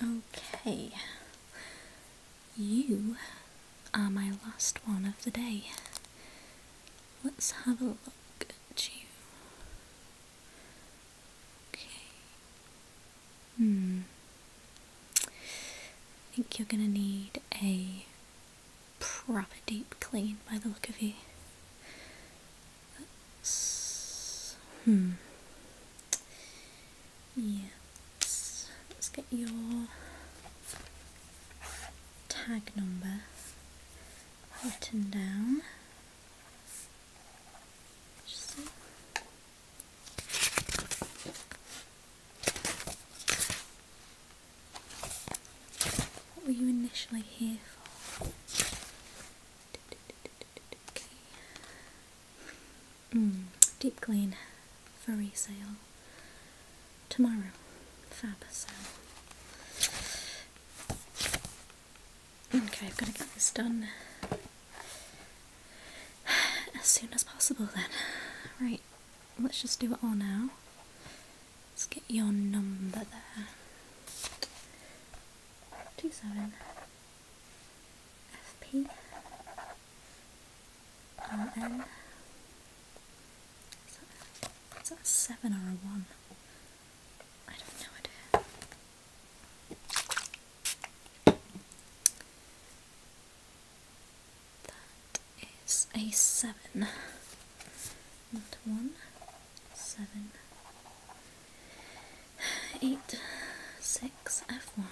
Okay, you are my last one of the day. Let's have a look at you. Okay. Hmm. I think you're gonna need a proper deep clean by the look of you hmm. Yeah. Let's, get your tag number written down. What were you initially here for? Mm, deep clean furry sale. tomorrow. Fab sale. Okay, I've got to get this done as soon as possible then. Right, let's just do it all now. Let's get your number there. Two seven FP and is that 7 or a 1? I don't know That is a 7 not 1 7 eight six F one.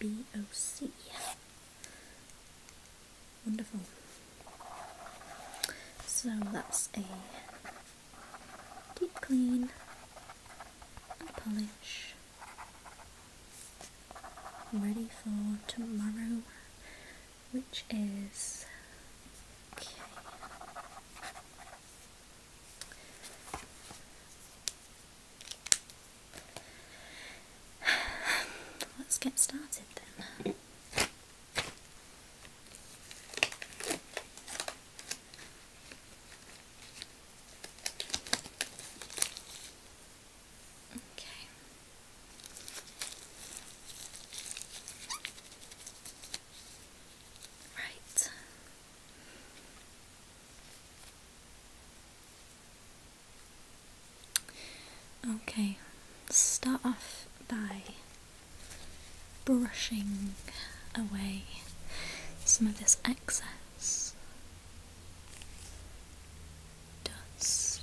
BOC. Wonderful. So that's a deep clean and polish ready for tomorrow which is okay. Let's get started then. Okay. Right. Okay, start off by brushing away some of this excess dust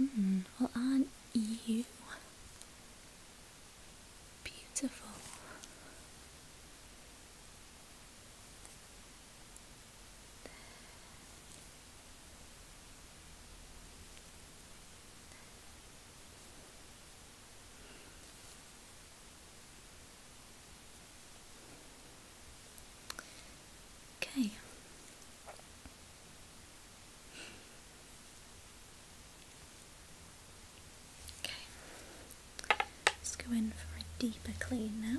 Mm, well, aren't you beautiful? Okay. Okay. Let's go in for a deeper clean now.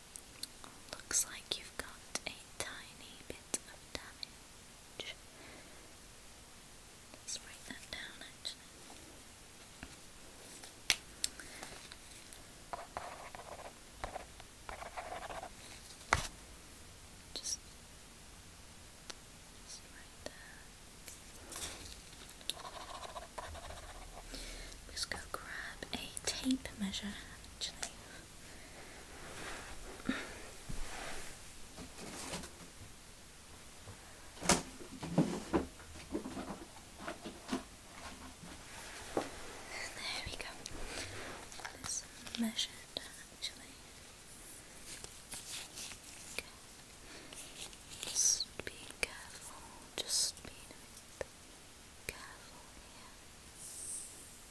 Looks like you've got a tiny bit of damage. let that down actually. Just, just right Let's go grab a tape measure actually. There we go. Let's actually. Just be careful. Just be careful here.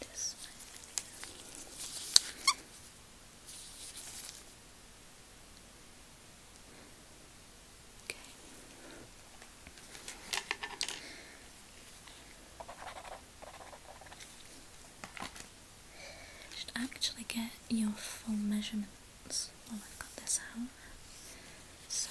This one. Should actually get your full measurements while I've got this out. So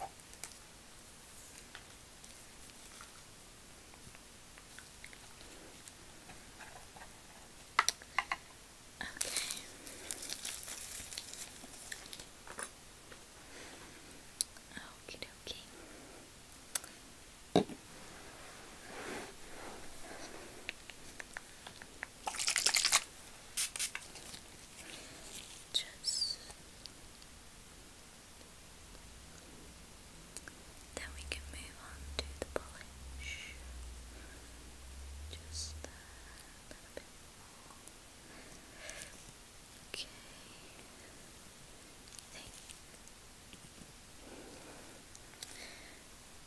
Okay. Okie dokie. Just then we can move on to the polish. Just a little bit more. Okay.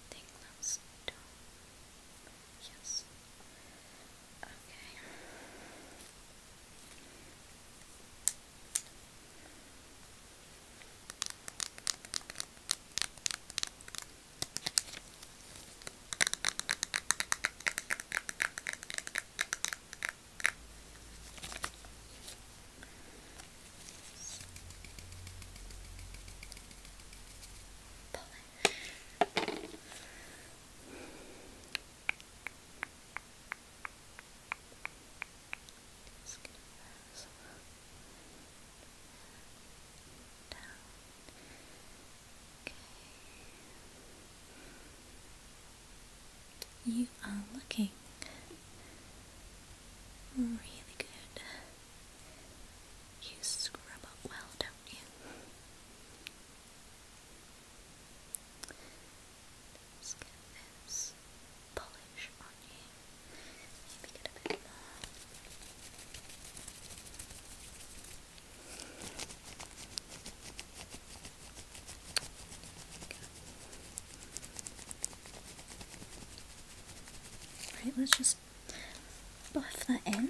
Think. I think Yes. Okay. Pull you are looking really good. You scrub up well, do Let's get this polish on you. Maybe get a bit more. Right, let's just buff that in.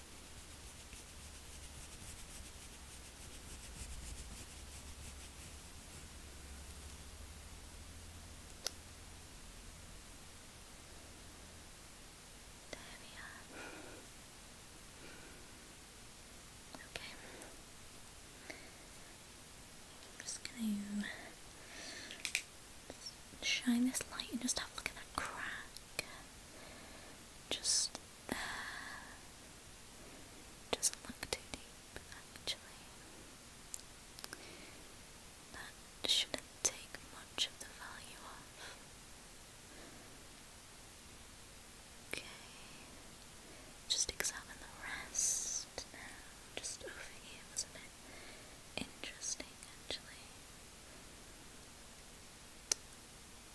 There we Okay. I'm just gonna shine this light and just have a look at that crack. Just doesn't look too deep, actually. That shouldn't take much of the value off. Okay, just examine the rest now. Just over here, was Interesting, actually.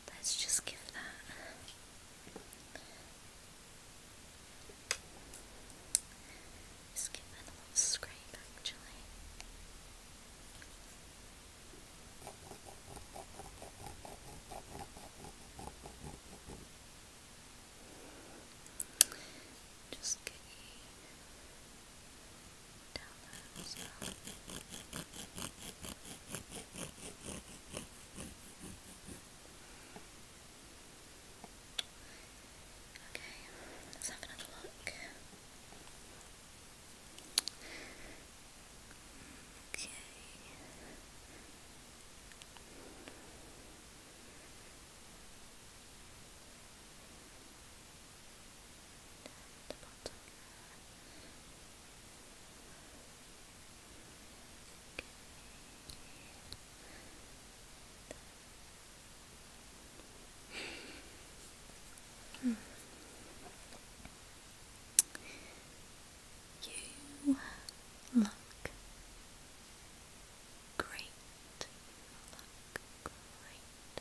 Let's just give that. Just give a little scrape actually. Just get downloads are. Okay, let's have another look. Okay. Down the bottom Hmm. You look great. look great.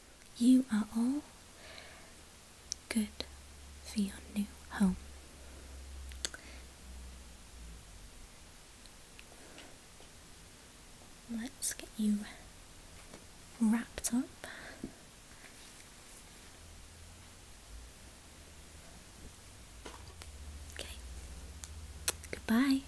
you are all good for your new home. Let's get you wrapped up. Okay, goodbye.